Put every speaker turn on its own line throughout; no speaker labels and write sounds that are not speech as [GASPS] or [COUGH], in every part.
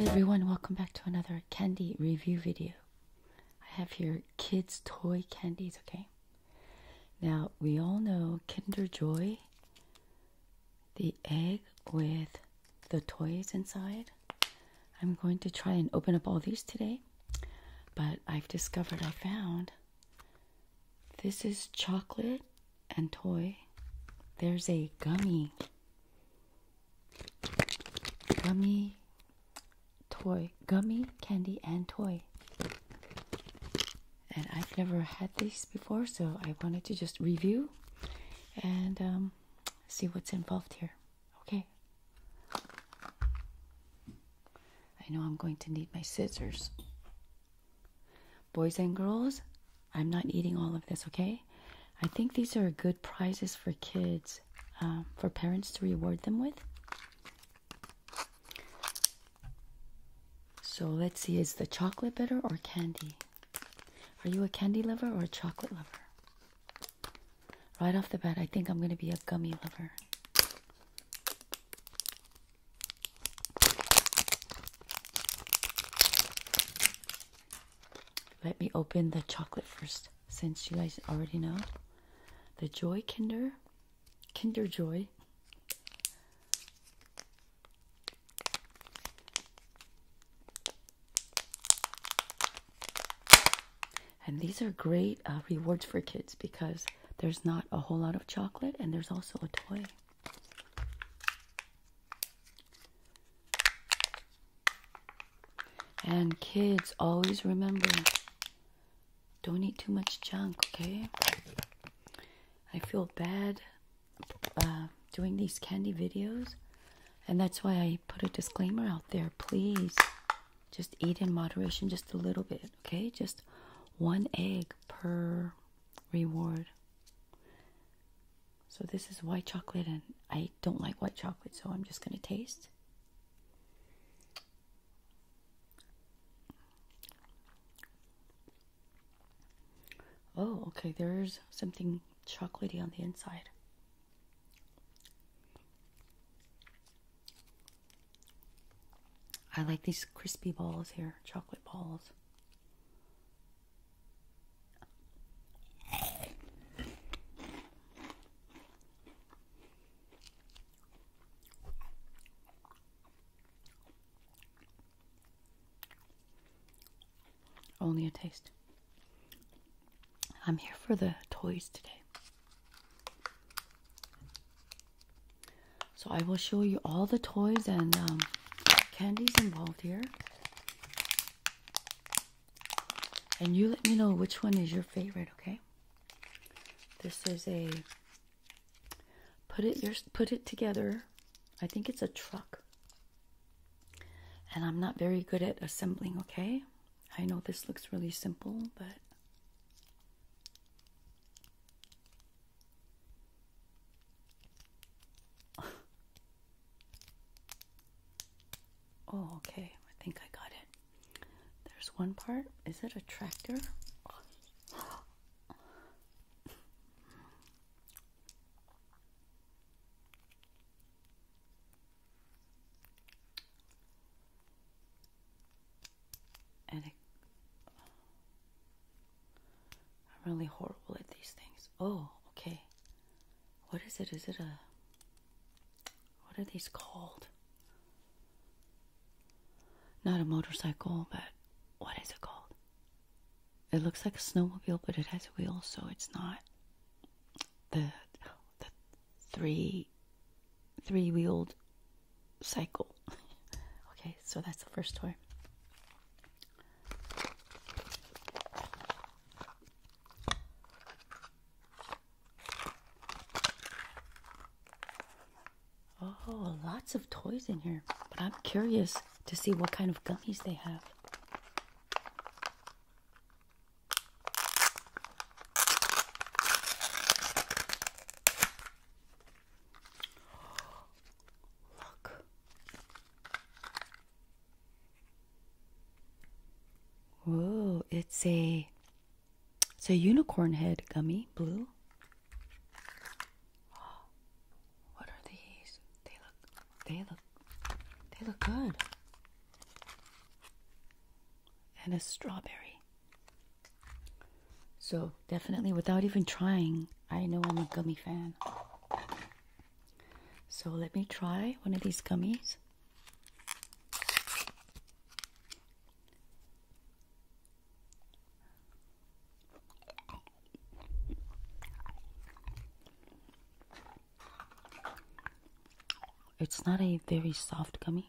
everyone, welcome back to another candy review video. I have here kids' toy candies, okay? Now, we all know Kinder Joy, the egg with the toys inside. I'm going to try and open up all these today, but I've discovered I found this is chocolate and toy. There's a gummy. Gummy toy. Gummy, candy, and toy. And I've never had these before, so I wanted to just review and um, see what's involved here. Okay. I know I'm going to need my scissors. Boys and girls, I'm not eating all of this, okay? I think these are good prizes for kids, um, for parents to reward them with. So let's see, is the chocolate better or candy? Are you a candy lover or a chocolate lover? Right off the bat, I think I'm going to be a gummy lover. Let me open the chocolate first, since you guys already know. The Joy Kinder, Kinder Joy. And these are great uh, rewards for kids because there's not a whole lot of chocolate, and there's also a toy. And kids, always remember don't eat too much junk, okay? I feel bad uh, doing these candy videos, and that's why I put a disclaimer out there. Please just eat in moderation just a little bit, okay? Just one egg per reward. So this is white chocolate and I don't like white chocolate, so I'm just going to taste. Oh, okay, there's something chocolaty on the inside. I like these crispy balls here, chocolate balls. Only a taste. I'm here for the toys today. So I will show you all the toys and um, candies involved here. And you let me know which one is your favorite, okay? This is a put it your put it together. I think it's a truck. And I'm not very good at assembling, okay? I know this looks really simple, but oh, okay. I think I got it. There's one part. Is it a tractor? I'm really horrible at these things. Oh, okay. What is it? Is it a what are these called? Not a motorcycle, but what is it called? It looks like a snowmobile, but it has wheels, so it's not the the three three wheeled cycle. [LAUGHS] okay, so that's the first toy. Oh, lots of toys in here. But I'm curious to see what kind of gummies they have. Look. Whoa, it's a it's a unicorn head gummy, blue. [GASPS] What are these? They look they look they look good. And a strawberry. So, definitely without even trying, I know I'm a gummy fan. So, let me try one of these gummies. It's not a very soft gummy.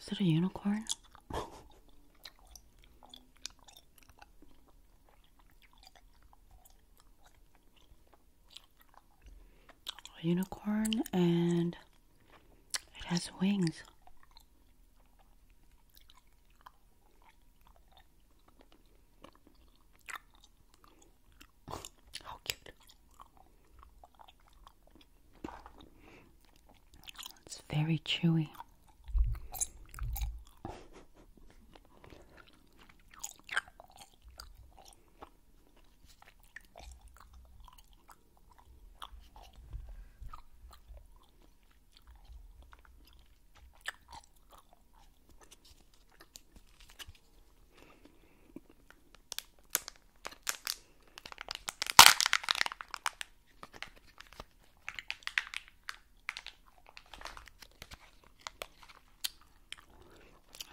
Is it a unicorn? a unicorn and it has wings. How cute. It's very chewy.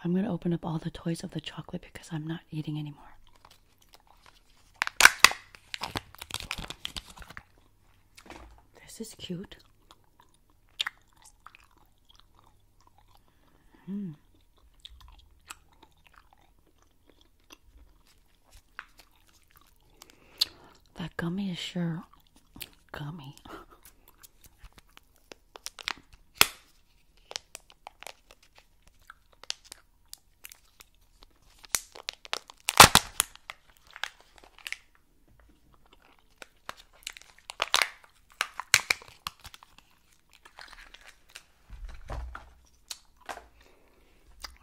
I'm going to open up all the toys of the chocolate because I'm not eating anymore. This is cute. Mm. That gummy is sure gummy.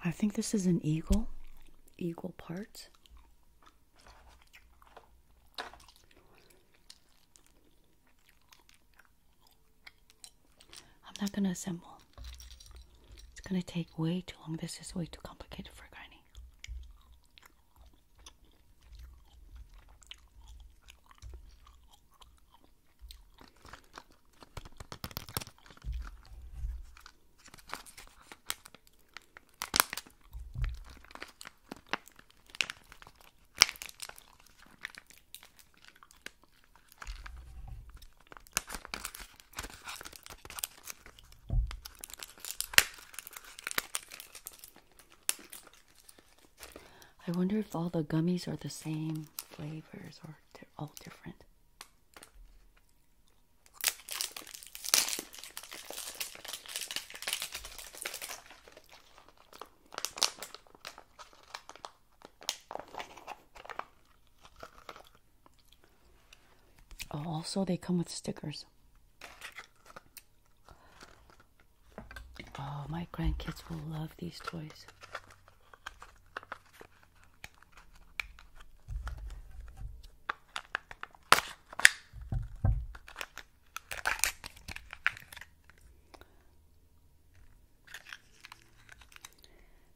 I think this is an eagle, eagle part. I'm not going to assemble. It's going to take way too long. This is way too complicated for Granny. I wonder if all the gummies are the same flavors or they're all different. Oh, also, they come with stickers. Oh, my grandkids will love these toys.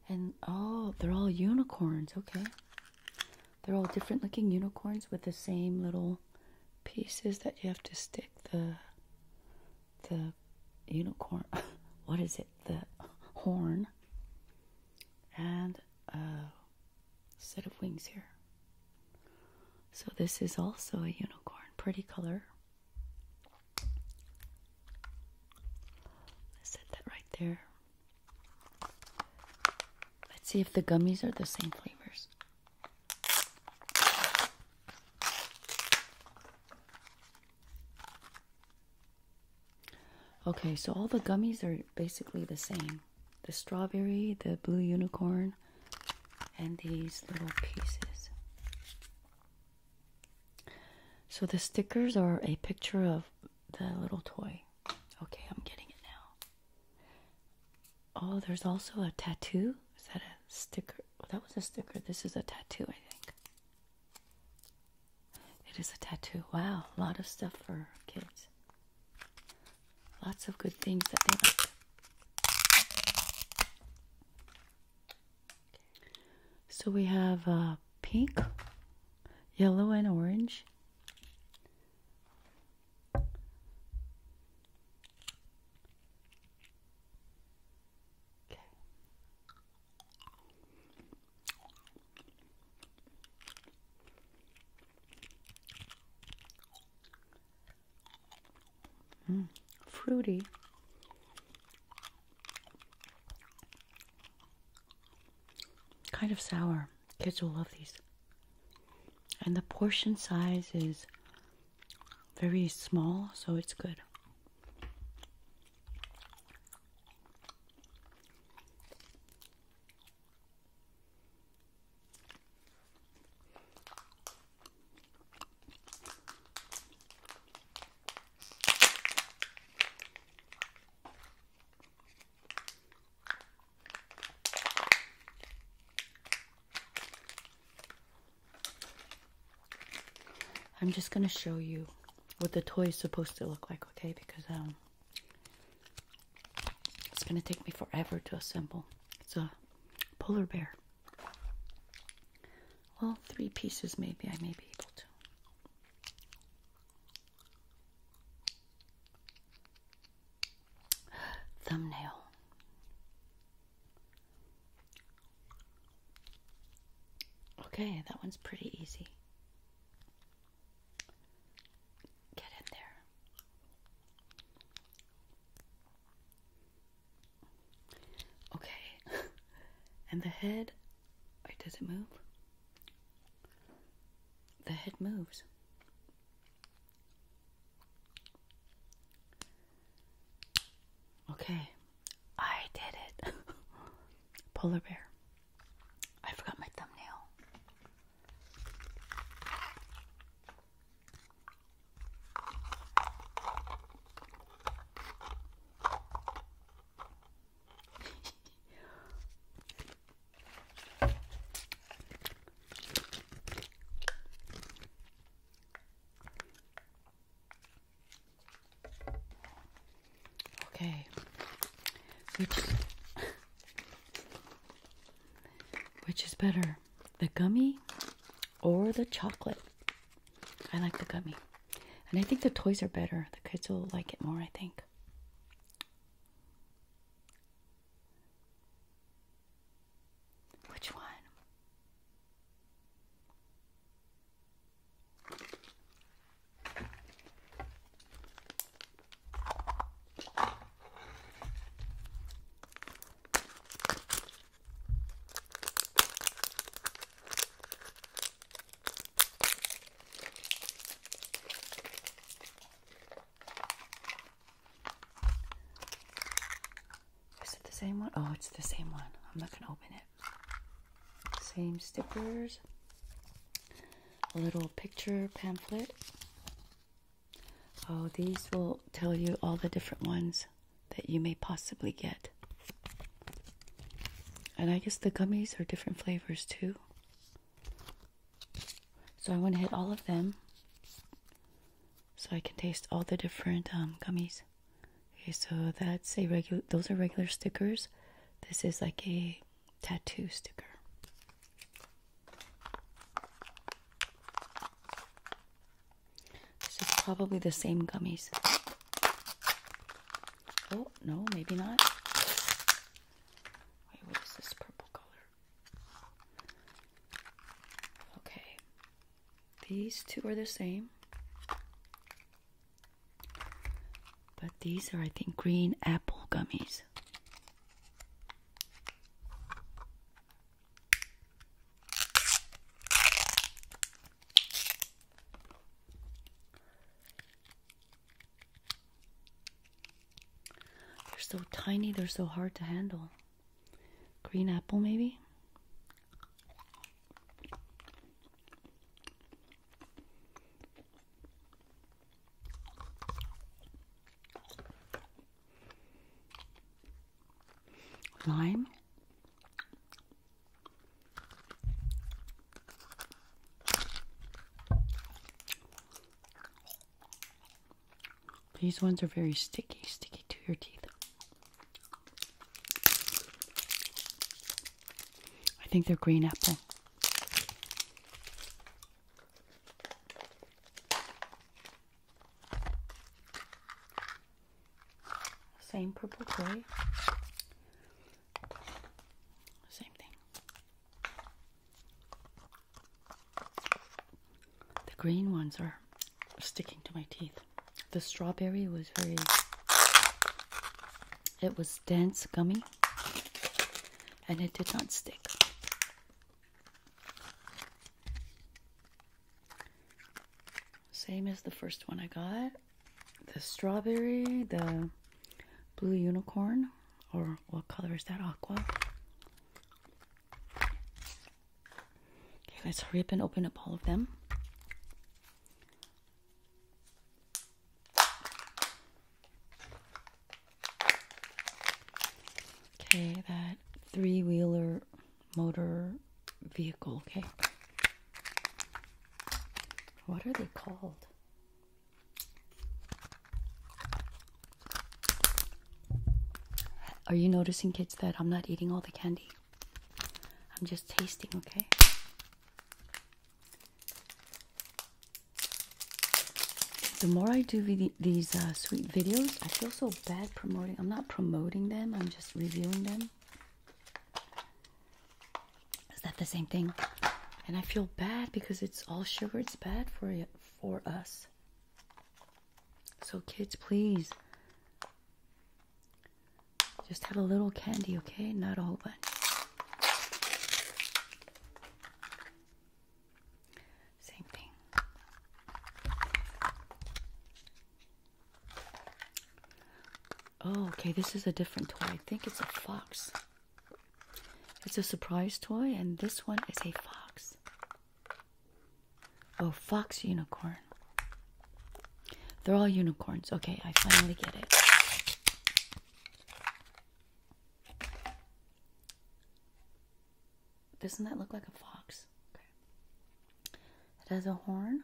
And oh, they're all unicorns. Okay. They're all different looking unicorns with the same little pieces that you have to stick the the unicorn, [LAUGHS] what is it, the horn, and a uh, set of wings here. So this is also a unicorn, pretty color. I said that right there. Let's see if the gummies are the same flavors. Okay, so all the gummies are basically the same. The strawberry, the blue unicorn, and these little pieces. So the stickers are a picture of the little toy. Okay, I'm getting it now. Oh, there's also a tattoo. Is that a sticker? That was a sticker. This is a tattoo, I think. It is a tattoo. Wow, a lot of stuff for kids. Lots of good things that they like. So we have uh, pink, yellow, and orange. Okay. Hmm. fruity. Kind of sour. Kids will love these. And the portion size is very small, so it's good. I'm just going to show you what the toy is supposed to look like, okay? Because um, it's gonna take me forever to assemble. It's a polar bear. Well, three pieces, maybe I may be able to. Thumbnail. Okay, that one's pretty easy. Get in there. Okay. [LAUGHS] and the head, does it move? The head moves. Okay. I did it. [LAUGHS] Polar bear. I forgot my thumbnail. Okay. Which Which is better? The gummy or the chocolate? I like the gummy. And I think the toys are better. The kids will like it more, I think. Which one? Is it the same one? Oh, it's the same one. I'm not going to open it. Same stickers. A little picture pamphlet. Oh, these will tell you all the different ones that you may possibly get. And I guess the gummies are different flavors too. So I want to hit all of them so I can taste all the different um, gummies. Okay, so that's a regular, those are regular stickers. This is like a tattoo sticker. This is probably the same gummies. Oh, no, maybe not. Wait, what is this purple color? Okay. These two are the same. But these are, I think, green apple gummies. They're so tiny, they're so hard to handle. Green apple, maybe? Lime. These ones are very sticky, sticky to your teeth. I think they're green apple. Same purple clay. Same thing. The green ones are sticking to my teeth. The strawberry was very, it was dense, gummy, and it did not stick. Same as the first one I got. The strawberry, the blue unicorn, or what color is that? Aqua. Okay, let's hurry up and open up all of them. Okay, that three wheeler motor vehicle. Okay. What are they called? Are you noticing, kids, that I'm not eating all the candy? I'm just tasting, okay? The more I do these uh, sweet videos, I feel so bad promoting. I'm not promoting them, I'm just reviewing them. Is that the same thing? And I feel bad because it's all sugar. It's bad for you, for us. So kids, please just have a little candy, okay? Not a whole bunch. Same thing. Oh, okay, this is a different toy. I think it's a fox. It's a surprise toy, and this one is a fox. Oh, fox unicorn. They're all unicorns. Okay, I finally get it. Doesn't that look like a fox? It has a horn.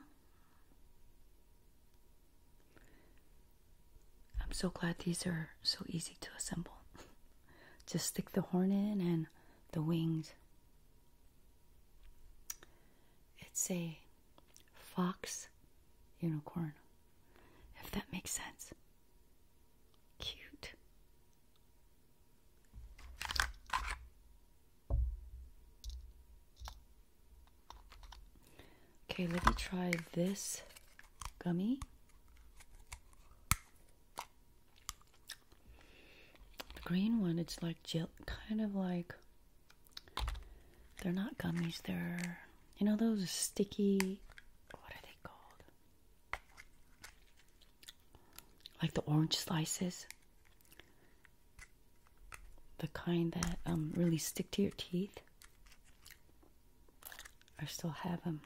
I'm so glad these are so easy to assemble. [LAUGHS] Just stick the horn in and the wings. It's a fox unicorn, if that makes sense. Cute. Okay, let me try this gummy. The green one, it's like gel, kind of like they're not gummies, they're, you know, those sticky, what are they called? Like the orange slices. The kind that um, really stick to your teeth. I still have them.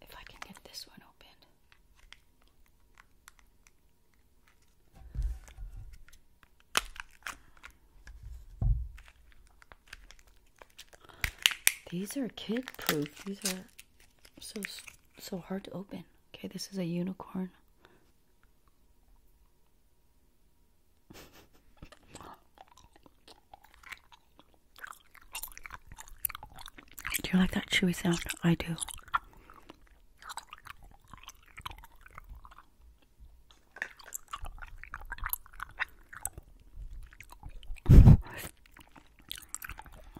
If I can get this one open. These are kid proof. These are so so hard to open. Okay, this is a unicorn. do you like that chewy sound? I do.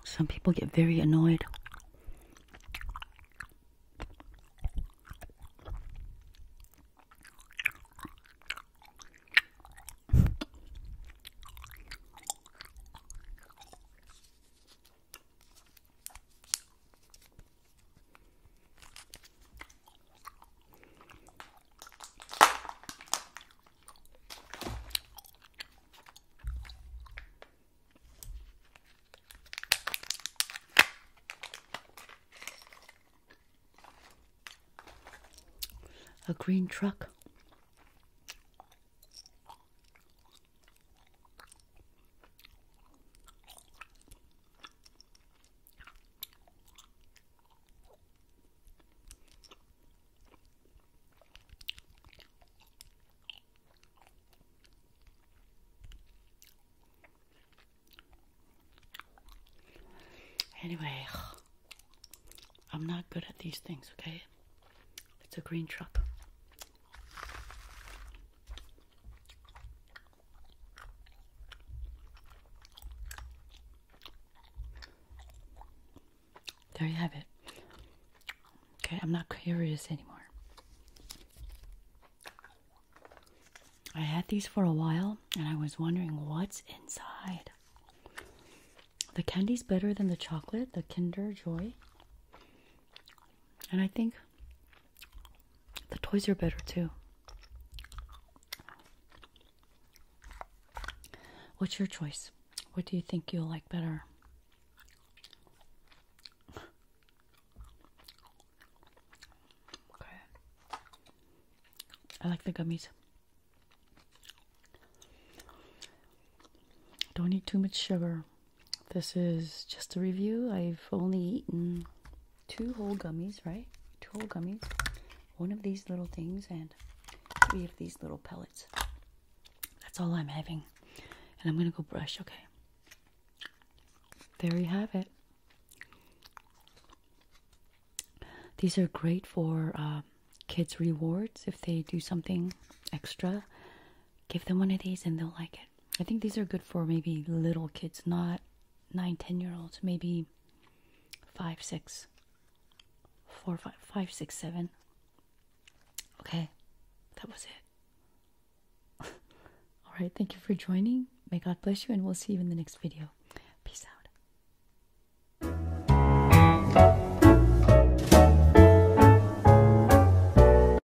Some people get very annoyed. A green truck. Anyway, I'm not good at these things, okay? It's a green truck. There you have it. Okay, I'm not curious anymore. I had these for a while and I was wondering what's inside. The candy's better than the chocolate, the Kinder Joy. And I think the toys are better too. What's your choice? What do you think you'll like better? Okay. I like the gummies. Don't eat too much sugar. This is just a review. I've only eaten two whole gummies, right? Two whole gummies. One of these little things and three of these little pellets. That's all I'm having. And I'm going to go brush, okay? There you have it. These are great for uh, kids' rewards if they do something extra give them one of these and they'll like it. I think these are good for maybe little kids, not nine, ten year olds, maybe five, six, four, five, five, six, seven. Okay, that was it. [LAUGHS] All right, thank you for joining. May God bless you, and we'll see you in the next video. Peace out.